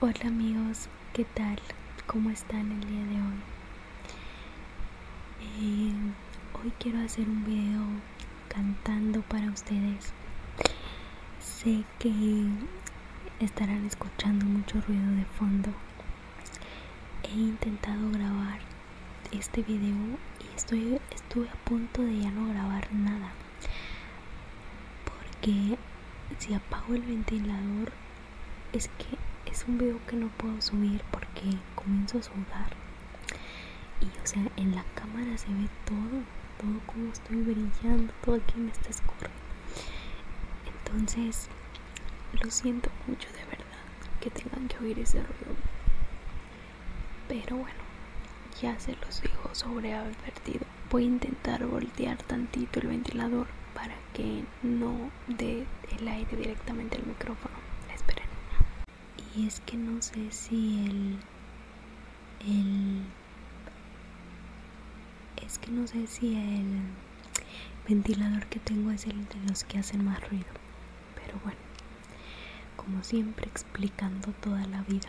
Hola amigos, ¿qué tal? ¿Cómo están el día de hoy? Eh, hoy quiero hacer un video cantando para ustedes. Sé que estarán escuchando mucho ruido de fondo. He intentado grabar este video y estoy, estuve a punto de ya no grabar nada porque si apago el ventilador es que es un video que no puedo subir porque comienzo a sudar y o sea en la cámara se ve todo todo como estoy brillando todo aquí me está escurriendo entonces lo siento mucho de verdad que tengan que oír ese ruido pero bueno, ya se los dijo sobre advertido. Voy a intentar voltear tantito el ventilador para que no dé el aire directamente al micrófono. Esperen. Y es que no sé si el. El. Es que no sé si el ventilador que tengo es el de los que hacen más ruido. Pero bueno, como siempre explicando toda la vida.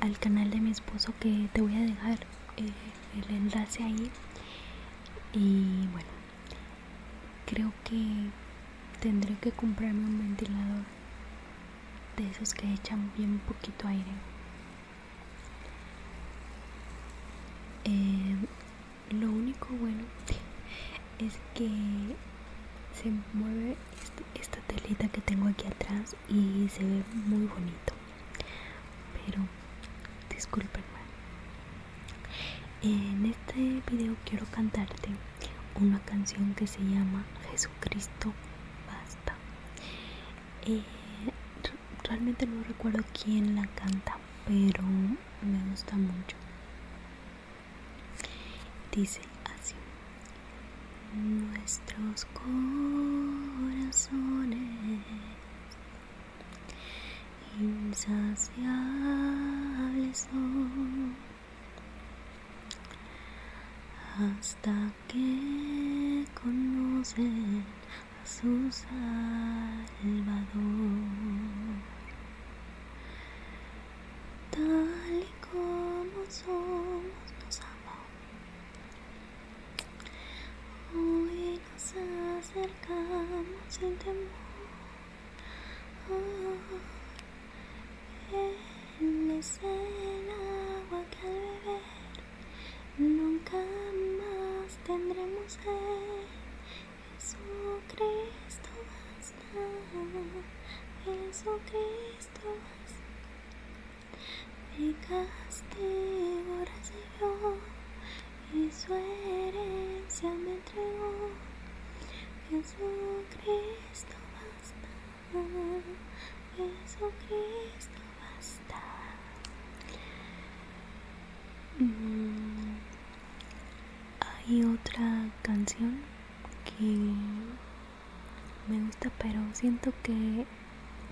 al canal de mi esposo que te voy a dejar eh, el enlace ahí y bueno creo que tendré que comprarme un ventilador de esos que echan bien poquito aire eh, lo único bueno es que se mueve este, esta telita que tengo aquí atrás y se ve muy bonito pero discúlpenme en este video quiero cantarte una canción que se llama Jesucristo basta eh, realmente no recuerdo quién la canta pero me gusta mucho Dice así. Nuestros corazones insaciables son hasta que conocen a su Salvador tal y como somos nos amó. Hoy nos acercamos sin temor. él es el agua que al beber nunca más tendremos sed. Jesucristo. Jesucristo, mi castigo recibió y su herencia me entregó. Jesucristo basta, Jesucristo basta. Hay otra canción que me gusta, pero siento que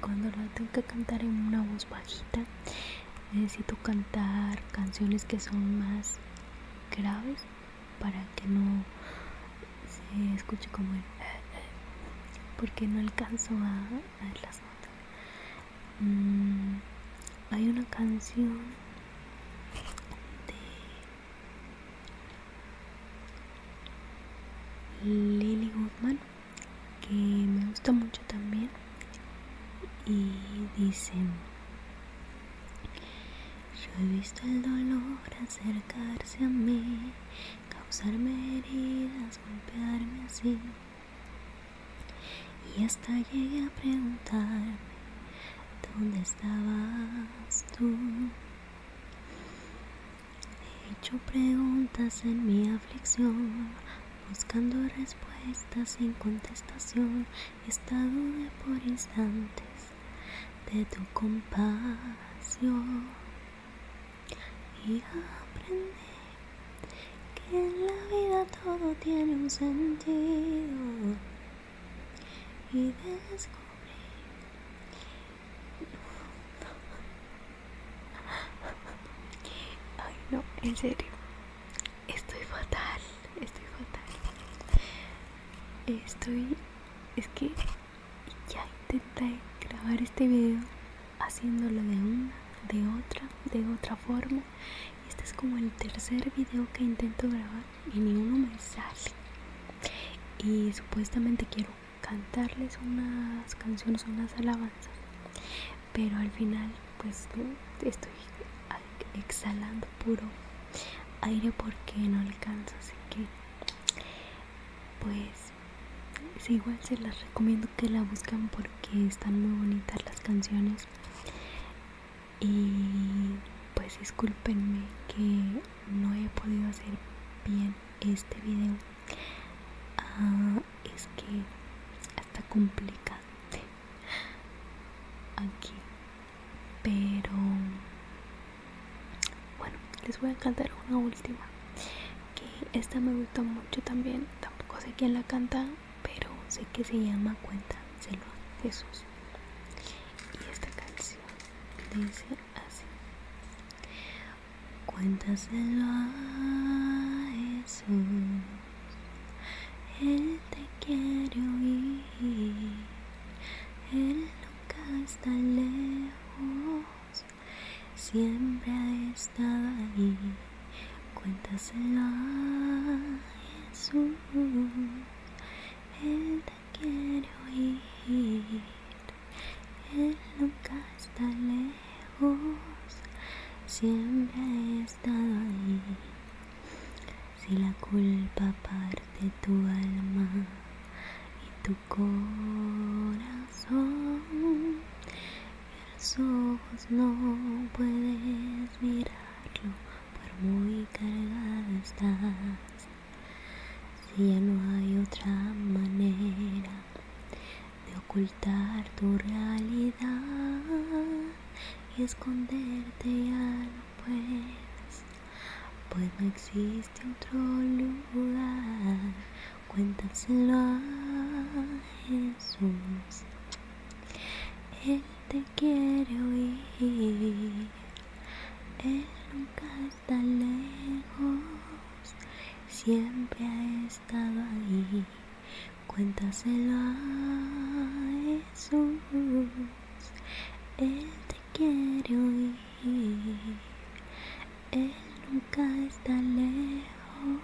cuando la tengo que cantar en una voz bajita, necesito cantar canciones que son más graves para que no se escuche como el porque no alcanzo a, las notas. Mm, hay una canción de Lily Goodman, que me gusta mucho también, y dice yo he visto el dolor acercarse a mí, causarme heridas, golpearme así, y hasta llegué a preguntarme ¿Dónde estabas tú? He hecho preguntas en mi aflicción, buscando respuestas sin contestación. He estado por instantes de tu compasión y aprendí que en la vida todo tiene un sentido y descubrí ay no en serio estoy fatal estoy fatal estoy es que ya intenté grabar este video haciéndolo de una de otra de otra forma este es como el tercer video que intento grabar y ninguno me sale. Y supuestamente quiero cantarles unas canciones, unas alabanzas. Pero al final pues estoy exhalando puro aire porque no alcanzo Así que pues igual se las recomiendo que la buscan porque están muy bonitas las canciones y pues discúlpenme que no he podido hacer bien este video ah, es que está complicante aquí pero bueno les voy a cantar una última que esta me gustó mucho también tampoco sé quién la canta pero sé que se llama cuéntaselo a Jesús. Y esta canción dice así. Cuéntaselo a Jesús. Él te quiere oír. Él nunca está lejos. Siempre ha estado ahí. Cuéntaselo a jesús él te quiere oír él nunca está lejos siempre ha estado ahí si la culpa parte tu alma y tu corazón tus ojos no puedes mirarlo por muy cargada estás, si ya no hay otra manera de ocultar tu realidad y esconderte ya no puedes, pues no existe otro lugar, cuéntaselo a Jesús te quiere oír. Él nunca está lejos, siempre ha estado ahí. Cuéntaselo a Jesús, Él te quiere oír. Él nunca está lejos,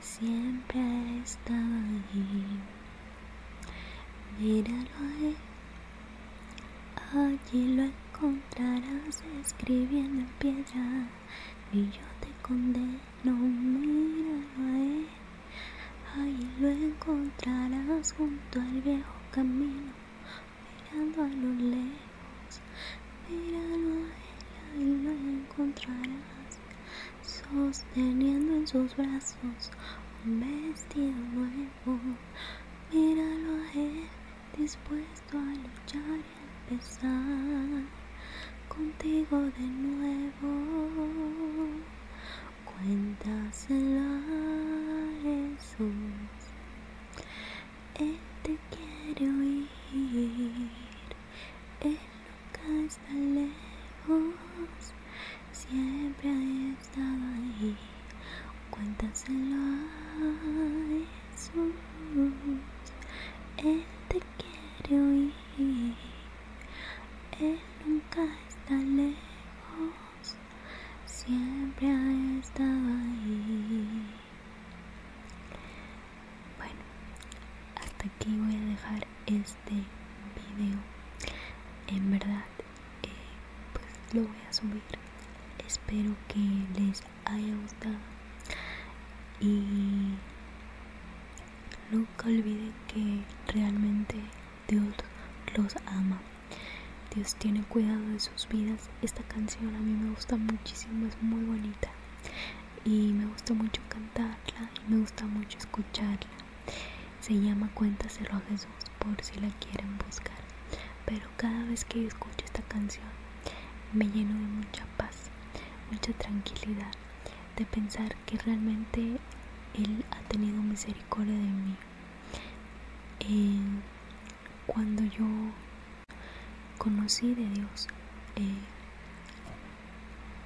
siempre está estado allí. Míralo ahí, allí lo encontrarás escribiendo en piedra. Y yo te condeno, míralo ahí, allí lo encontrarás junto al viejo camino, mirando a lo lejos. Míralo ahí, ahí lo encontrarás sosteniendo en sus brazos un vestido nuevo. Míralo a él, dispuesto a luchar y empezar contigo de nuevo. cuéntaselo a Jesús, él te quiere oír nunca está lejos, siempre ha estado ahí. Cuéntaselo a Jesús, Él te quiere oír. Él nunca está lejos, siempre ha estado ahí. Bueno, hasta aquí voy a dejar este video. En verdad, eh, pues lo voy a subir. Espero que les haya gustado. Y nunca olviden que realmente Dios los ama. Dios tiene cuidado de sus vidas. Esta canción a mí me gusta muchísimo, es muy bonita y me gusta mucho cantarla y me gusta mucho escucharla. Se llama Cuéntaselo a Jesús por si la quieren buscar. Pero cada vez que escucho esta canción me lleno de mucha paz, mucha tranquilidad, de pensar que realmente Él ha tenido misericordia de mí. Eh, cuando yo conocí de Dios. Eh,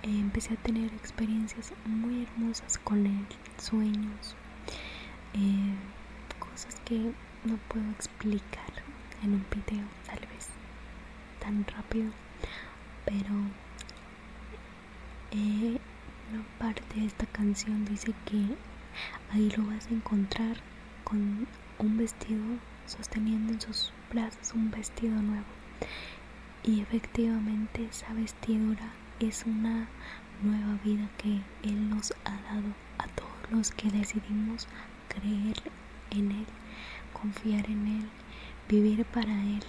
eh, empecé a tener experiencias muy hermosas con Él, sueños, eh, cosas que no puedo explicar en un video, tal vez tan rápido, pero La parte de esta canción dice que ahí lo vas a encontrar con un vestido sosteniendo en sus brazos un vestido nuevo y efectivamente esa vestidura es una nueva vida que Él nos ha dado a todos los que decidimos creer en Él, confiar en Él, vivir para Él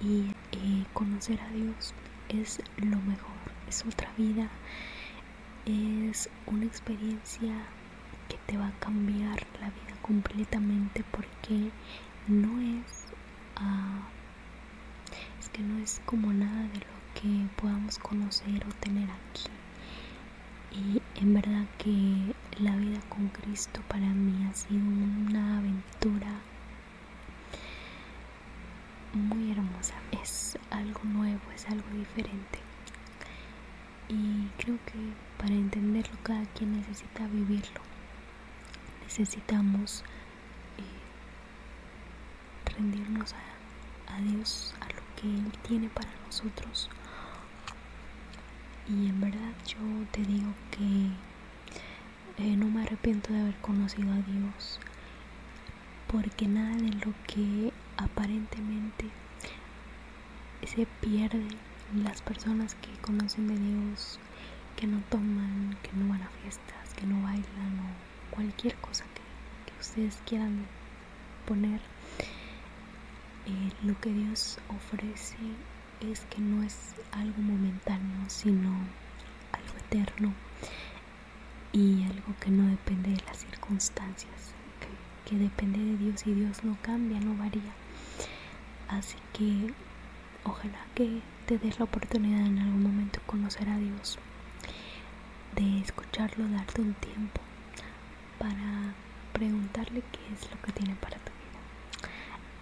y eh, conocer a Dios es lo mejor, es otra vida, es una experiencia que te va a cambiar la vida completamente porque no ah, es que no es como nada de lo que podamos conocer o tener aquí y en verdad que la vida con Cristo para mí ha sido una aventura muy hermosa es algo nuevo es algo diferente y creo que para entenderlo cada quien necesita vivirlo. Necesitamos eh, rendirnos a, a Dios, a lo que Él tiene para nosotros. Y en verdad yo te digo que eh, no me arrepiento de haber conocido a Dios, porque nada de lo que aparentemente se pierden las personas que conocen de Dios, que no toman, que no van a fiestas, que no bailan o cualquier cosa que, ustedes quieran poner. Eh, lo que Dios ofrece es que no es algo momentáneo, sino algo eterno y algo que no depende de las circunstancias que, depende de Dios y Dios no cambia, no varía. Así que ojalá que te des la oportunidad en algún momento conocer a Dios, de escucharlo, darte un tiempo para preguntarle qué es lo que tiene para tu vida.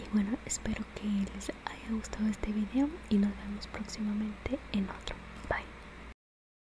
Y bueno, espero que les haya gustado este video y nos vemos próximamente en otro. Bye.